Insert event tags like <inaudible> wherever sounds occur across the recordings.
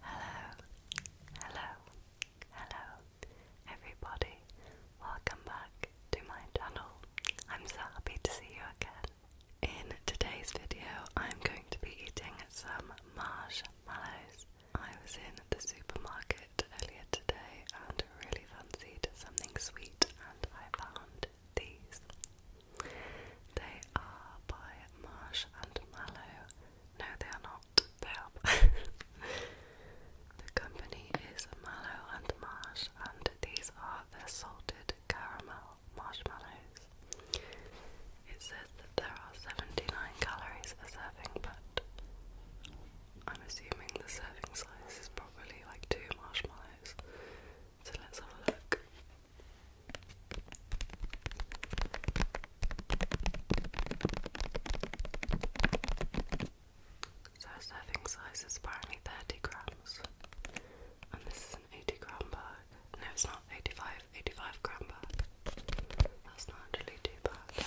Hello, hello, hello, everybody. Welcome back to my channel. I'm so happy to see you again. In today's video, I'm going to be eating some marshmallows. I was in the supermarket earlier today and really fancied something sweet, and I found these. They are by Marsh and Mallow. No, they are not. They are. <laughs> the company is Mallow and Marsh, and these are the salted caramel marshmallows. It says that there are 79 calories a serving, but I'm assuming the serving size is probably like two marshmallows. So let's have a look. So our serving size is apparently 30 grams. And this is an 80 gram bag. No, it's not 85, 85 gram bag. That's not actually too bad.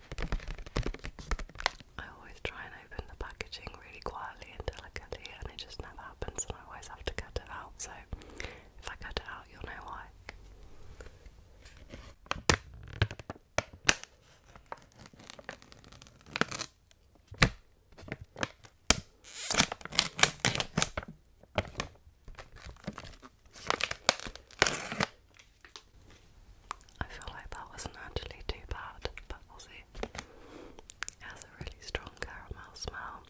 I always try and open the packaging really quietly and delicately, and it just never happens, and I always have to cut it out. So, if I cut it out, you'll know why. I feel like that wasn't actually too bad, but we'll see. It has a really strong caramel smell.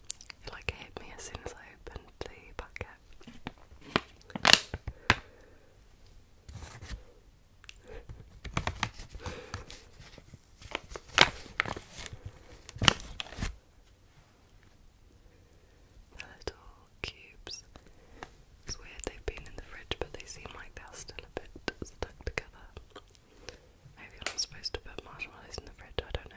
like hit me as soon as I opened the packet little cubes. It's weird they've been in the fridge, but they seem like they're still a bit stuck together. Maybe I'm not supposed to put marshmallows in the fridge, I don't know.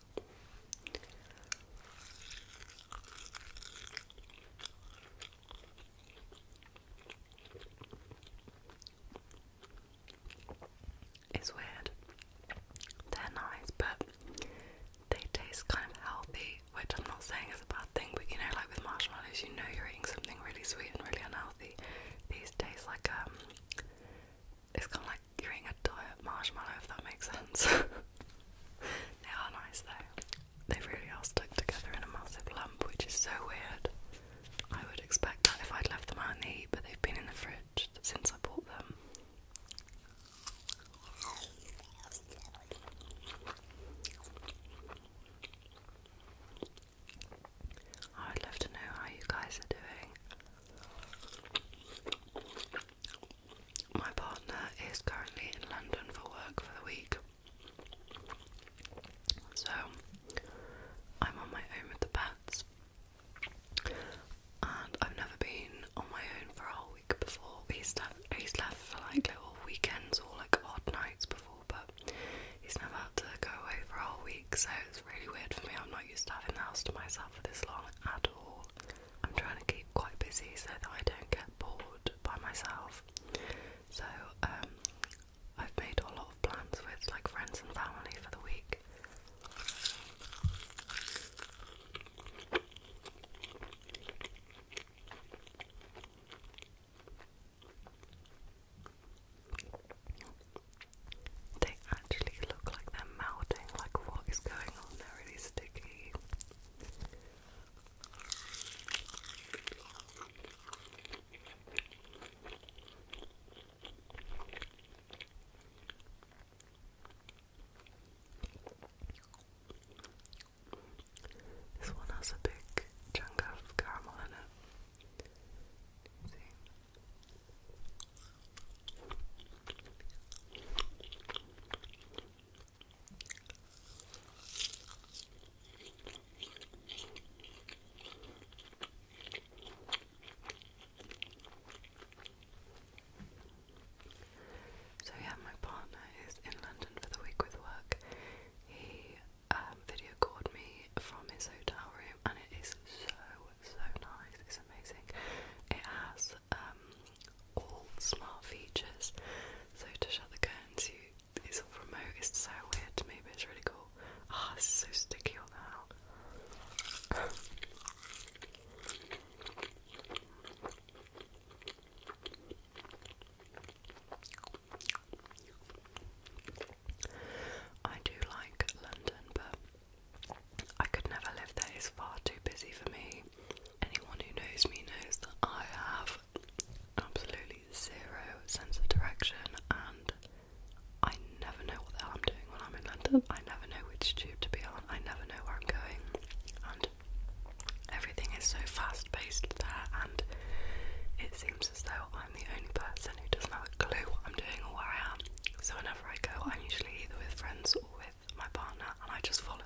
It's weird. They're nice, but they taste kind of healthy, which I'm not saying is a bad thing, but you know, like with marshmallows, you know you're eating something really sweet and really unhealthy. These taste like um it's kind of like eating a diet marshmallow, if that makes sense. <laughs> they are nice though. They really are stuck together in a massive lump, which is so weird. I would expect that if I'd left them out in the heat, but they've been in the fridge since I bought them. I would love to know how you guys are doing. My partner is currently in London for work for the week. So I'm on my own with the pets. And I've never been on my own for a whole week before. He's, left for like little weekends or like odd nights before, but he's never had to go away for a whole week, so it's really weird for me. I'm not used to having the house to myself for this long at all. I'm trying to keep quite busy so that I don't get bored by myself. So um, I've made a lot of plans with like friends and family for the week. They actually look like they're melting, like what is going on? They're really sticky. This one has a big chunk of caramel in it. So yeah, my partner is in London for the week with work. He um, video called me from his hotel room, and it is so so nice, it's amazing. It has um, all smart features, so to shut the curtains, you it's all remote, it's so weird to me, but it's really cool. Ah, it's so sticky on I do like London, but I could never live there, it's far too busy for me. Anyone who knows me knows that I have absolutely zero sense of direction and I never know what the hell I'm doing when I'm in London. I never know which tube to be on, I never know where I'm going, and everything is so fast paced there, and it seems as though I'm the only person who doesn't have a clue what I'm doing or where I am. So, when I go, I'm usually either with friends or with my partner, and I just follow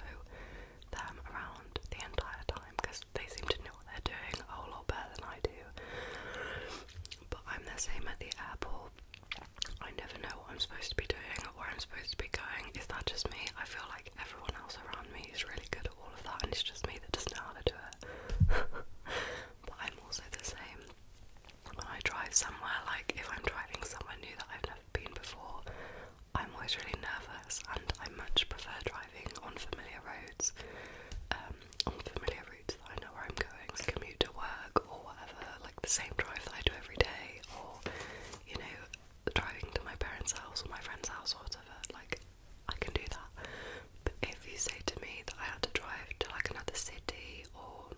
them around the entire time because they seem to know what they're doing a whole lot better than I do. But I'm the same at the airport. I never know what I'm supposed to be doing or where I'm supposed to be going. Is that just me? I feel like everyone else around me is really good at all of that, and it's just me that doesn't know how to do it. <laughs> but I'm also the same when I drive somewhere, like if I'm driving somewhere new that I've never been before, I'm always really nervous and I much prefer driving on familiar roads, um, on familiar routes that I know where I'm going, commute to work or whatever, like the same drive that I do every day, or you know, driving to my parents' house or my friend's house or whatever, like I can do that. But if you say to me that I have to drive to like another city or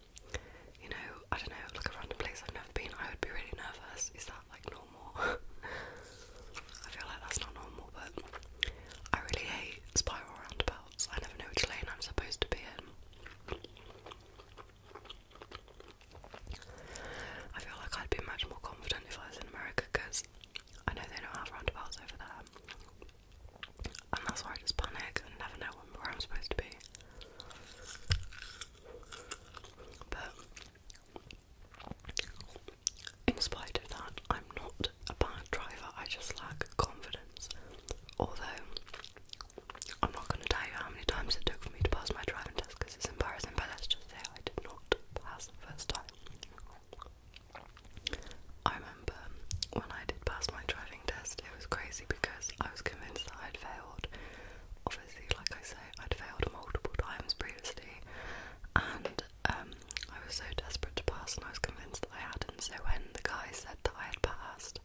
you know, I don't know, like a random place I've been, I would be really nervous. Is that like normal? <laughs> I feel like that's not normal, but I really hate spiral roundabouts. I never know which lane I'm supposed to be in. I feel like I'd be much more confident if I was in America because I know they don't have roundabouts over there and that's why I just panic and never know where I'm supposed to be. But in spite of that, I'm not a bad driver, I just lack confidence. Although, I'm not going to tell you how many times it took for me to pass my driving test because it's embarrassing, but let's just say I did not pass the first time remember when I did pass my driving test, it was crazy because I was convinced that i had failed. Obviously, like I say, I'd failed multiple times previously, and um, I was so desperate to pass, and I was convinced that I had And So when the guy said that I had passed,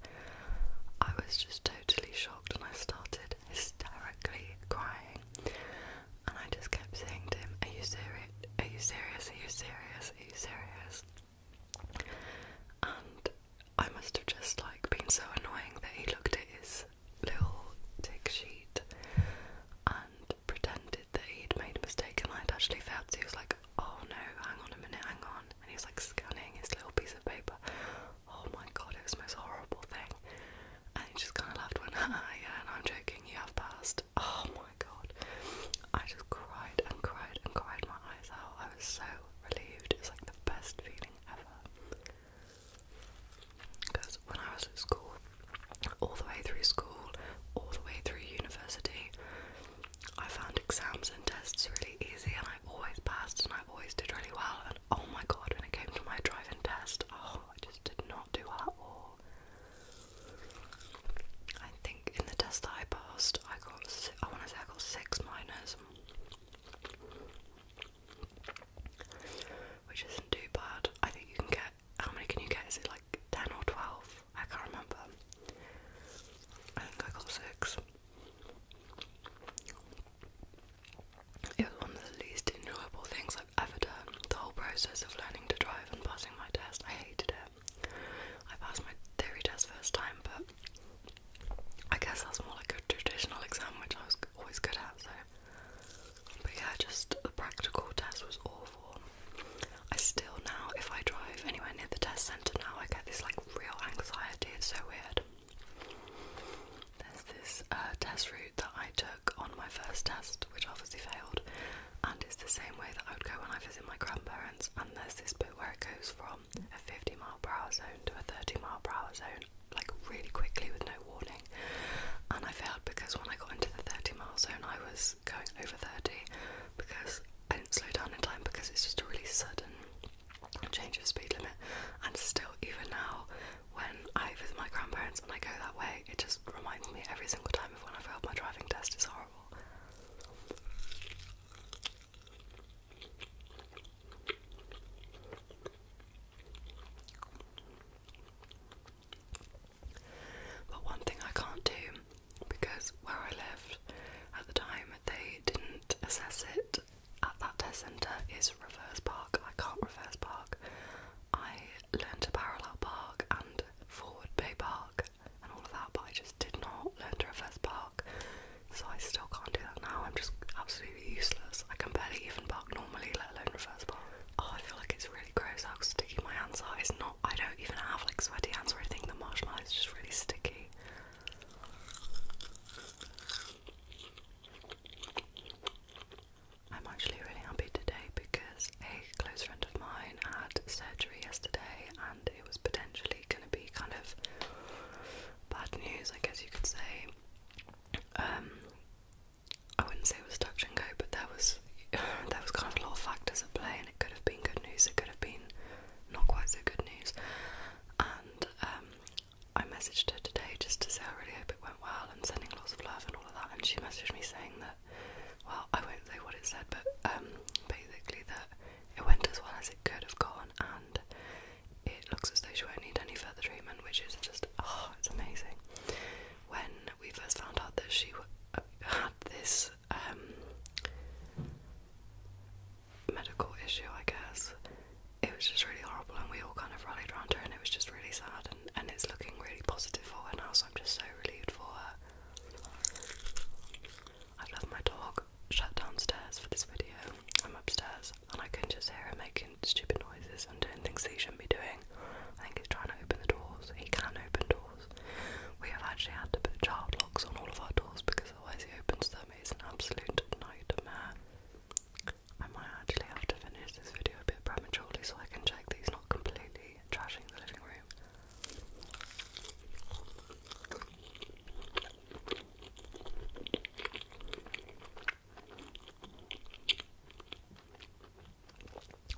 I was just totally shocked, and I started hysterically crying. And I just kept saying to him, "Are you serious? Are you serious? Are you serious? Are you serious?" and I must have just like been so annoying that he looked at his little tick sheet and pretended that he'd made a mistake and I'd actually felt. he was like, "Oh no, hang on a minute, hang on," and he was like scanning his little piece of paper. Oh my god, it was the most horrible thing. And he just kind of laughed, went, <laughs> "Yeah, and I'm joking. You have passed." Oh my my god. I just cried and cried and cried my eyes out. I was so relieved. It was like the best feeling ever. Because when I was at school, all the way through school, all the way through university, I found exams and tests really easy and I always passed and I always did really well. And oh my god, when it came to my driving test, oh, I just did not do well at all. I think in the test that I passed, I got si I want to say I got six minors, which isn't too bad. I think you can get how many can you get? Is it like ten or twelve? I can't remember. I think I got six. It was one of the least enjoyable things I've ever done. The whole process of learning to drive and passing my test, I hated it. I passed my theory test first time, but I guess that's more like a traditional exam, which I was always good at, so. But yeah, just the practical test was awful. I still now, if I drive anywhere near the test centre now, I get this like real anxiety, it's so weird. There's this uh, test route that I took on my first test, which obviously failed, and it's the same way that I would go when I visit my grandparents. And there's this bit where it goes from a 50 mile per hour zone to a 30 mile per hour zone like really quickly with no warning and I failed because when I got into the 30 mile zone I was going over 30 because I didn't slow down in time because it's just a really sudden change of speed limit and still even now when I visit my grandparents and I go that way it just reminds me every single time of when I failed my driving test it's horrible but one thing I can't do because where I lived at the time they didn't assess it at that test centre is reverse park. I can't reverse park. I learned to parallel park and forward bay park and all of that, but I just did not learn to reverse park, so I still can't do that now. I'm just absolutely useless. I can barely even park normally, let alone reverse park. Oh, I feel like it's really gross how sticky my hands are. It's not, I don't even have like sweaty hands or anything. The marshmallow is just really sticky. I'm actually really happy today because a close friend of mine had surgery yesterday, and it was potentially going to be kind of bad news, I guess you could say. Um, I wouldn't say it was touch and go, but there was <sighs> there was kind of a lot of factors at play, and it could have been good news, it could have been not quite so good news. And um, I messaged her today just to say I really hope it went well, and sending lots of love and all of that. And she messaged me saying that that well I won't say what it said but um basically that it went as well as it could have gone and it looks as though she won't need any further treatment which is just oh it's amazing. When we first found out that she uh, had this um medical issue I guess it was just really horrible and we all kind of rallied around her and it was just really sad and, and it's looking really positive for her now so I'm just so relieved for her i left my dog shut downstairs for this video. I'm upstairs and I can just hear him making stupid noises and doing things he shouldn't be doing. I think he's trying to open the doors. He can open doors. We have actually had to put child locks on all of our doors because otherwise he opens them. It's an absolute nightmare. I might actually have to finish this video a bit prematurely so I can check he's not completely trashing the living room.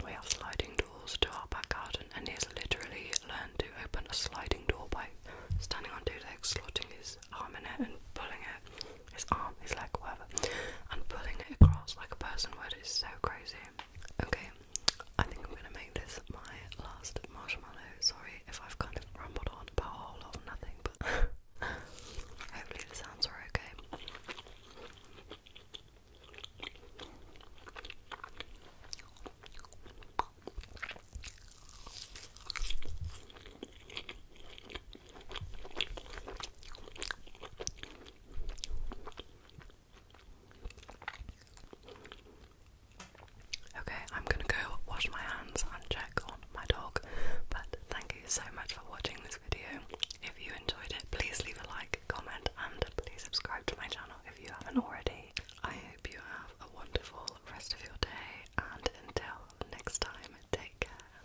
We have sliding doors to our back garden, and he has literally learned to open a sliding door by standing on two legs, slotting his arm in it and pulling it, his arm, his leg, whatever, and pulling it across like a person would. It's so crazy okay. I think I'm gonna make this my last marshmallow. Sorry if I've kind of rambled on about a lot of nothing, but <laughs> hopefully the sounds are okay. Okay, I'm gonna go wash my hands and check on my dog. But thank you so much for watching this video. If you enjoyed it, please leave a like, comment, and please subscribe to my channel if you haven't already. I hope you have a wonderful rest of your day, and until next time, take care.